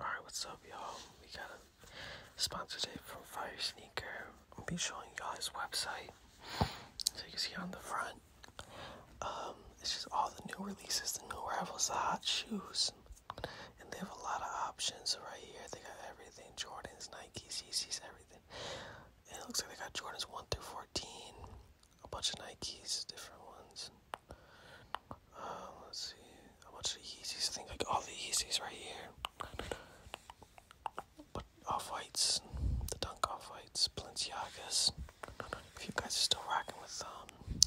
Alright, what's up y'all? We got a sponsorship from Fire Sneaker. I'll be showing y'all his website. So you can see on the front. Um, it's just all the new releases, the new arrivals, the hot shoes. And they have a lot of options right here. They got everything. Jordans, Nikes, Yeezys, everything. it looks like they got Jordans 1 through 14. A bunch of Nikes, different ones. Uh, let's see. How much the Yeezys? I like all the easies right here. But off whites, the Dunk off whites, Balenciagas. If you guys are still rocking with um,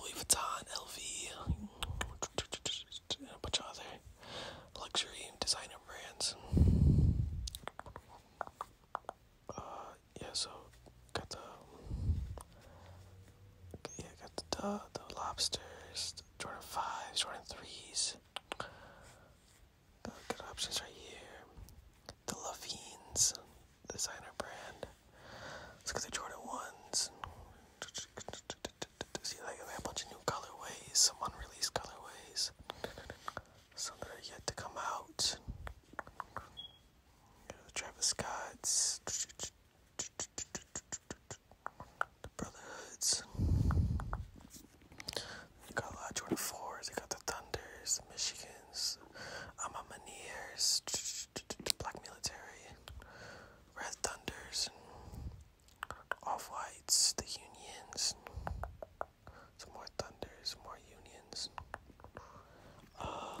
Louis Vuitton, LV, and a bunch of other luxury designer brands. Uh, yeah, so got the yeah, got the the, lobsters, Jordan fives, Jordan threes. good options right here. The Levines designer brand. Let's get the Jordan ones. See, like they have a bunch of new colorways, some unreleased colorways, some that are yet to come out the Travis Scott's, the Brotherhoods. They got a lot of Jordan they got the Thunders, the Michigans, Amamaneers, Black Military, Red Thunders, Off Whites, the Unions. Some more Thunders, more Unions. Uh,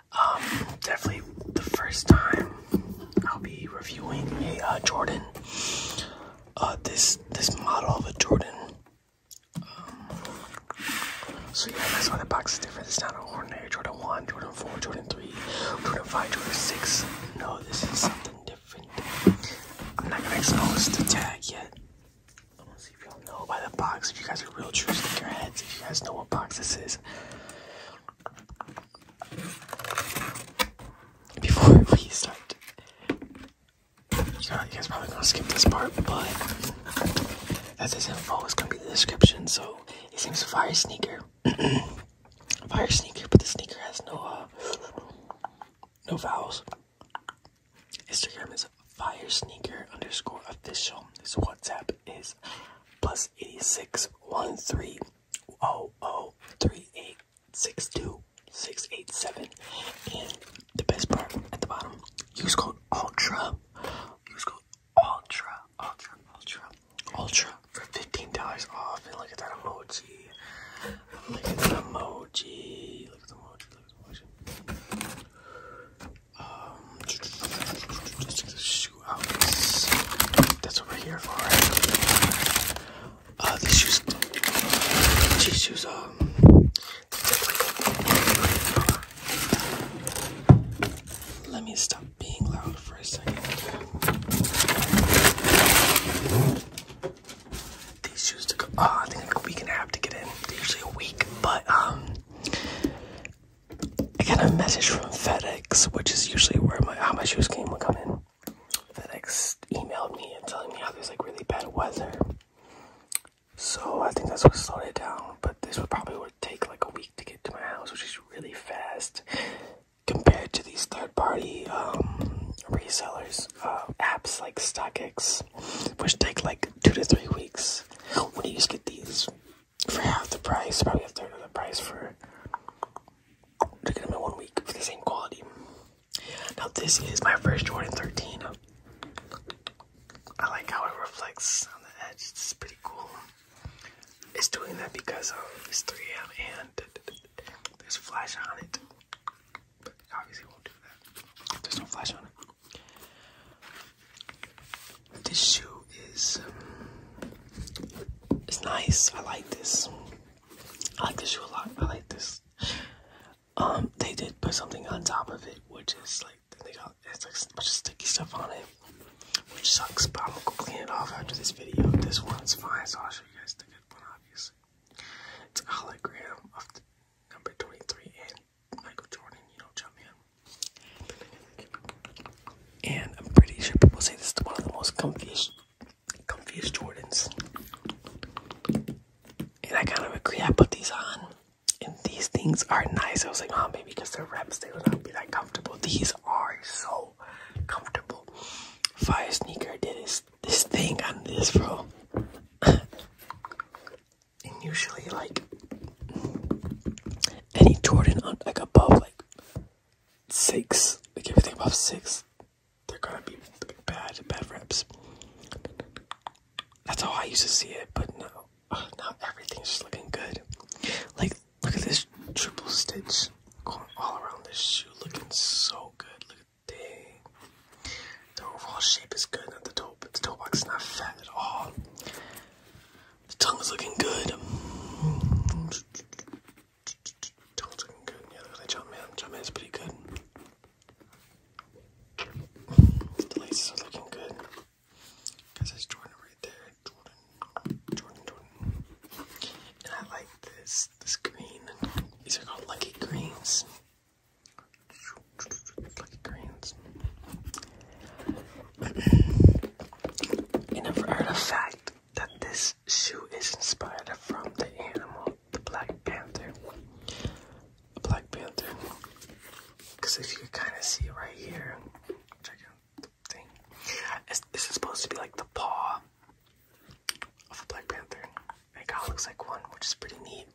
um, definitely the first time I'll be reviewing a uh, Jordan. Uh, this this model of a Jordan. Um, so yeah, that's why the box is different. It's not an ordinary Jordan One, Jordan Four, Jordan Three, Jordan Five, Jordan Six. No, this is something different. I'm not gonna expose the tag yet. I'm gonna see if y'all know by the box. If you guys are real true your heads if you guys know what box this is. Before we start, you, guys probably gonna skip this part, but that's his info It's gonna be in the description, so it seems fire sneaker, fire sneaker, but the sneaker has no uh, no vowels. Instagram is fire sneaker underscore official. His WhatsApp is plus 86 1 3 0 0 3 8 6 2 6 8 7. And the best part at the bottom, use code ULTRA. Use code ULTRA, ULTRA, ULTRA, ULTRA for $15 off. And look at that emoji. Look at that emoji. Look at the emoji. Look at the emoji. Um, shootouts. That's what we're here for, right? Uh, these shoes, these shoes, um, let me stop being loud for a second. These shoes took, uh, ah, I think a week and a half to get in. usually a week, but, um, I got a message from FedEx, which is usually where my how my shoes came would come in. FedEx emailed me and telling me how there's like really bad weather. So I think that's what slowed it down. But this would probably would take like a week to get to my house, which is really fast compared to these third-party um, resellers uh, apps like StockX, which take like two to three weeks. When you just get these for half the price, probably a third of the price for to get them one week for the same quality. Now this is my first Jordan 13. I like how it reflects on the edge. It's pretty cool. It's doing that because of it's 3M and there's flash on it obviously won't do that. There's no flash on it. This shoe is it's nice. I like this. I like this shoe a lot. I like this. Um, they did put something on top of it, which is like they got it's like a bunch of sticky stuff on it, which sucks. But I'm gonna go clean it off after this video. This one's fine, so I'll show you guys the good one. Obviously, it's a hologram of the number 23 and Michael Jordan, you know, jump And I'm pretty sure people say this is one of the most comfiest, comfiest Jordans. And I kind of agree. I put these on, and these things are nice. I was like, oh, maybe because they're reps, they would not be that comfortable. These are so comfortable. Fire sneaker did this thing on this, bro. and usually like any Jordan like above like six, like everything above six, they're gonna be bad, bad reps. That's how I used to see it, but no, now everything's looking good. Like, look at this triple stitch going all around this shoe, looking so good. Look at dang, the overall shape is good at the toe, but the toe box is not fat at all. The tongue is looking good. Tongue's looking good. Yeah, look at that jump man. Jump man's pretty good. The laces are looking good. Because that's Jordan right there. Jordan. Jordan, Jordan. And I like this. This green. These are called Lucky Greens. Like greens. you never heard of fact that this shoe is inspired from the animal, the Black Panther. Black Panther. Because if you can kind of see right here, check out the thing. this is supposed to be like the paw of a Black Panther. It kind of looks like one, which is pretty neat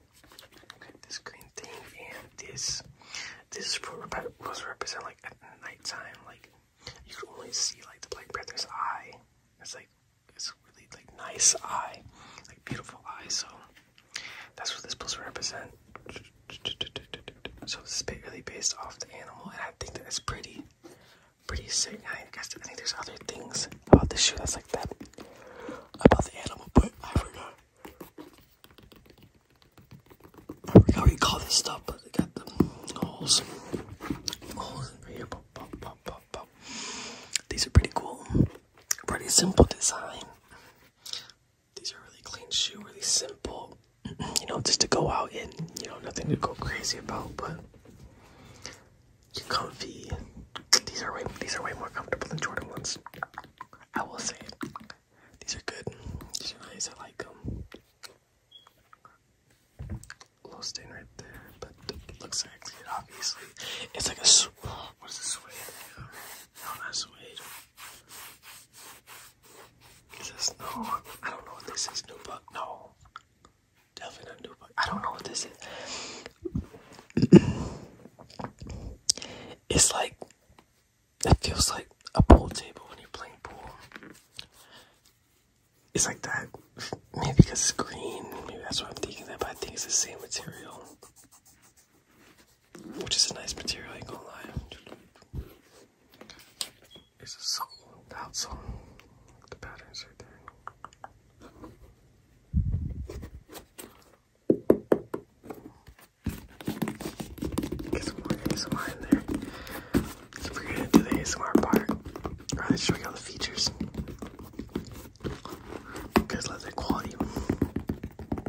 this green thing and this this was represent like at nighttime like you could only see like the Black Panther's eye. It's like it's really like nice eye, like beautiful eye. So that's what this supposed to represent. So this is really based off the animal, and I think that it's pretty, pretty sick. I, guess, I think there's other things about the shoe that's like that. About the animal, but I forgot. I forgot what you call this stuff, but they got the holes. Holes in here. Pop, pop, pop, pop, pop. These are pretty cool. Pretty simple design. These are really clean shoe, really simple. You know, just to go out and, you know, nothing to go crazy about, but comfy. These are way these are way more comfortable than Jordan ones. I will say these are good. These are like them. A little stain right there, but it looks sexy. Obviously, it's like a what is a suede? No, not suede. Is no? I don't know what this is. New Nubuck? No, definitely not Nubuck. I don't know what this is. it's like it feels like a pool table when you're playing pool. It's like that. Maybe because it's green. Maybe that's why I'm thinking that. but I think it's the same material. Which is a nice material, I ain't gonna lie. It's a soul. That's on the patterns right there. Get some more ASMR in there. we're gonna do the ASMR part. Rather right, show you all the features. Good leather quality.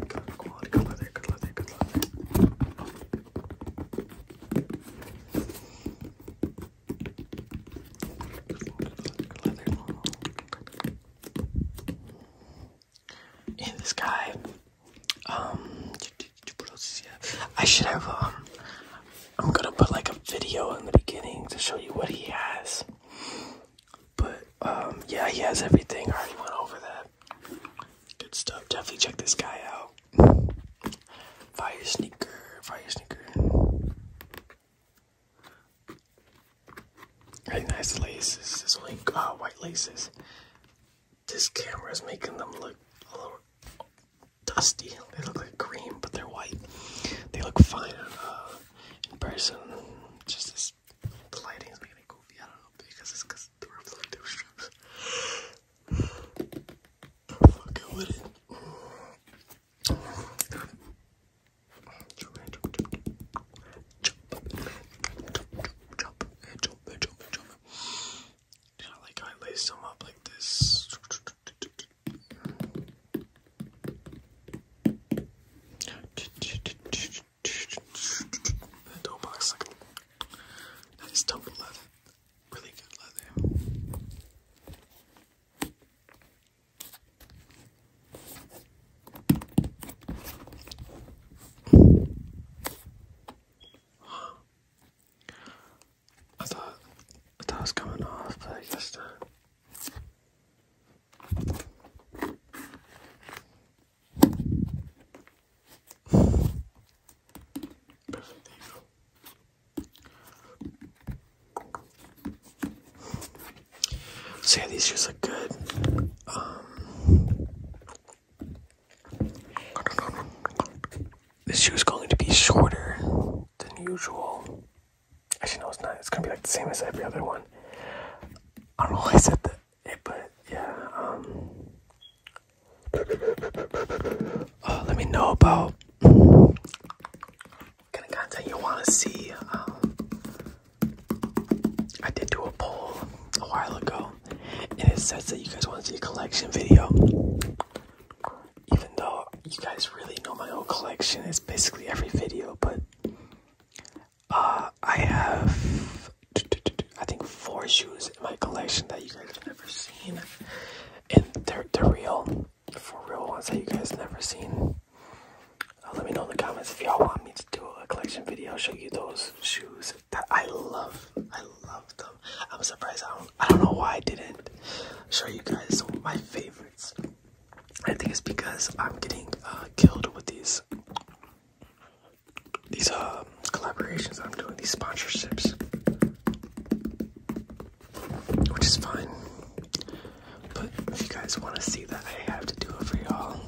Good quality, good leather, good this guy, um, I should have, um, I'm gonna put like a video in the beginning to show you what he has. But, um, yeah, he has everything. I already went over that. Good stuff. Definitely check this guy out. Fire sneaker, fire sneaker. Very nice laces. It's only uh, white laces. This camera is making them look a little dusty. They look like green, but they're white. They look fine in uh, person. Just this, the lighting is making it goofy. I don't know because it's because the reflective strips. Fucking with it. Yeah, like I lace them up like this. The double leather, really good leather. I thought that was coming off, but I just. So these shoes look good. Um, this shoe is going to be shorter than usual. Actually, no, it's not. It's gonna be like the same as every other one. I don't know why I said that, but yeah. Um, uh, let me know about kind of content you want to see. Um, I did do a poll a while ago, and it says that you guys want to see a collection video. Even though you guys really know my whole collection, it's basically every video, but uh, I have, I think, four shoes in my collection that you guys have never seen, and they're, they're real for real ones that you guys never seen. Uh, let me know in the comments if y'all want me to do a collection video, show you those shoes that I love. I love them. I'm surprised I don't, I don't know why I didn't show you guys some of my favorites. I think it's because I'm getting uh, killed with these these um, collaborations I'm doing, these sponsorships which is fine. But if you guys want to see that, I have to do it for y'all.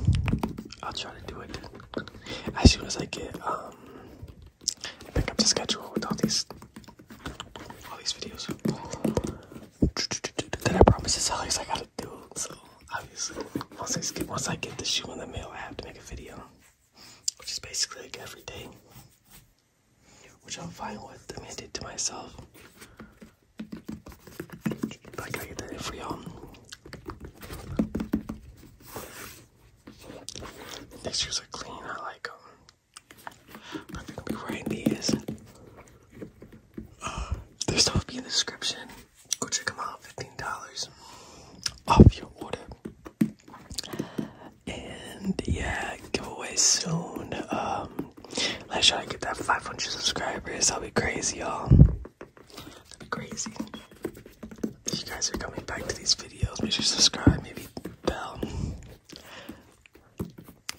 I'll try to do it as soon as I get um I pick up the schedule with all these all these videos Then I promise to is always I gotta do. it. So obviously, once I get once I get the shoe in the mail, I have to make a video, which is basically like every day which I'm fine with. I mean, I did to myself. Like I did for y'all. Um, these shoes are clean. I like them. I think I'll be wearing these. Uh, their stuff will be in the description. Go check them out. Fifteen dollars off your order and yeah, giveaway soon. Um, let's try to get that 500 subscribers. That'll be crazy, y'all. That'll be crazy. If you guys are coming back to these videos, make sure you subscribe. Maybe bell.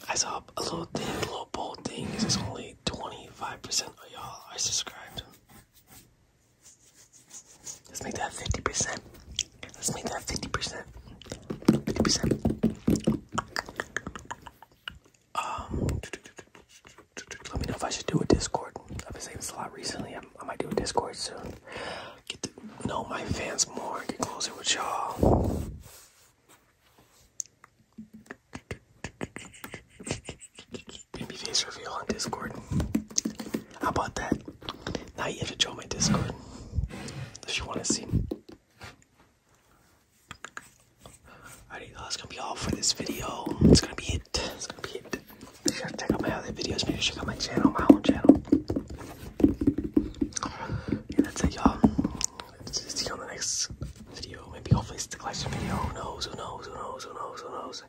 I saw a little thing, a little bold thing. It's only 25% of y'all are subscribed. Let's make that 50%. Let's make that 50%. 50%. Um, let me know if I should do a Discord. I've been saying this a lot recently. i might do a Discord soon. Get to know my fans more. Get closer with y'all. Baby face reveal on Discord. How about that? Now you have to join my Discord if you want to see. Alrighty, that's gonna be all for this video. It's gonna be it. It's gonna be it. Make sure to check out my other videos. Make check out my channel, my own channel. Yeah, that's it, y'all. See you on the next video. Maybe hopefully it's the collection video. Who knows? Who knows? Who knows? Who knows? Who knows?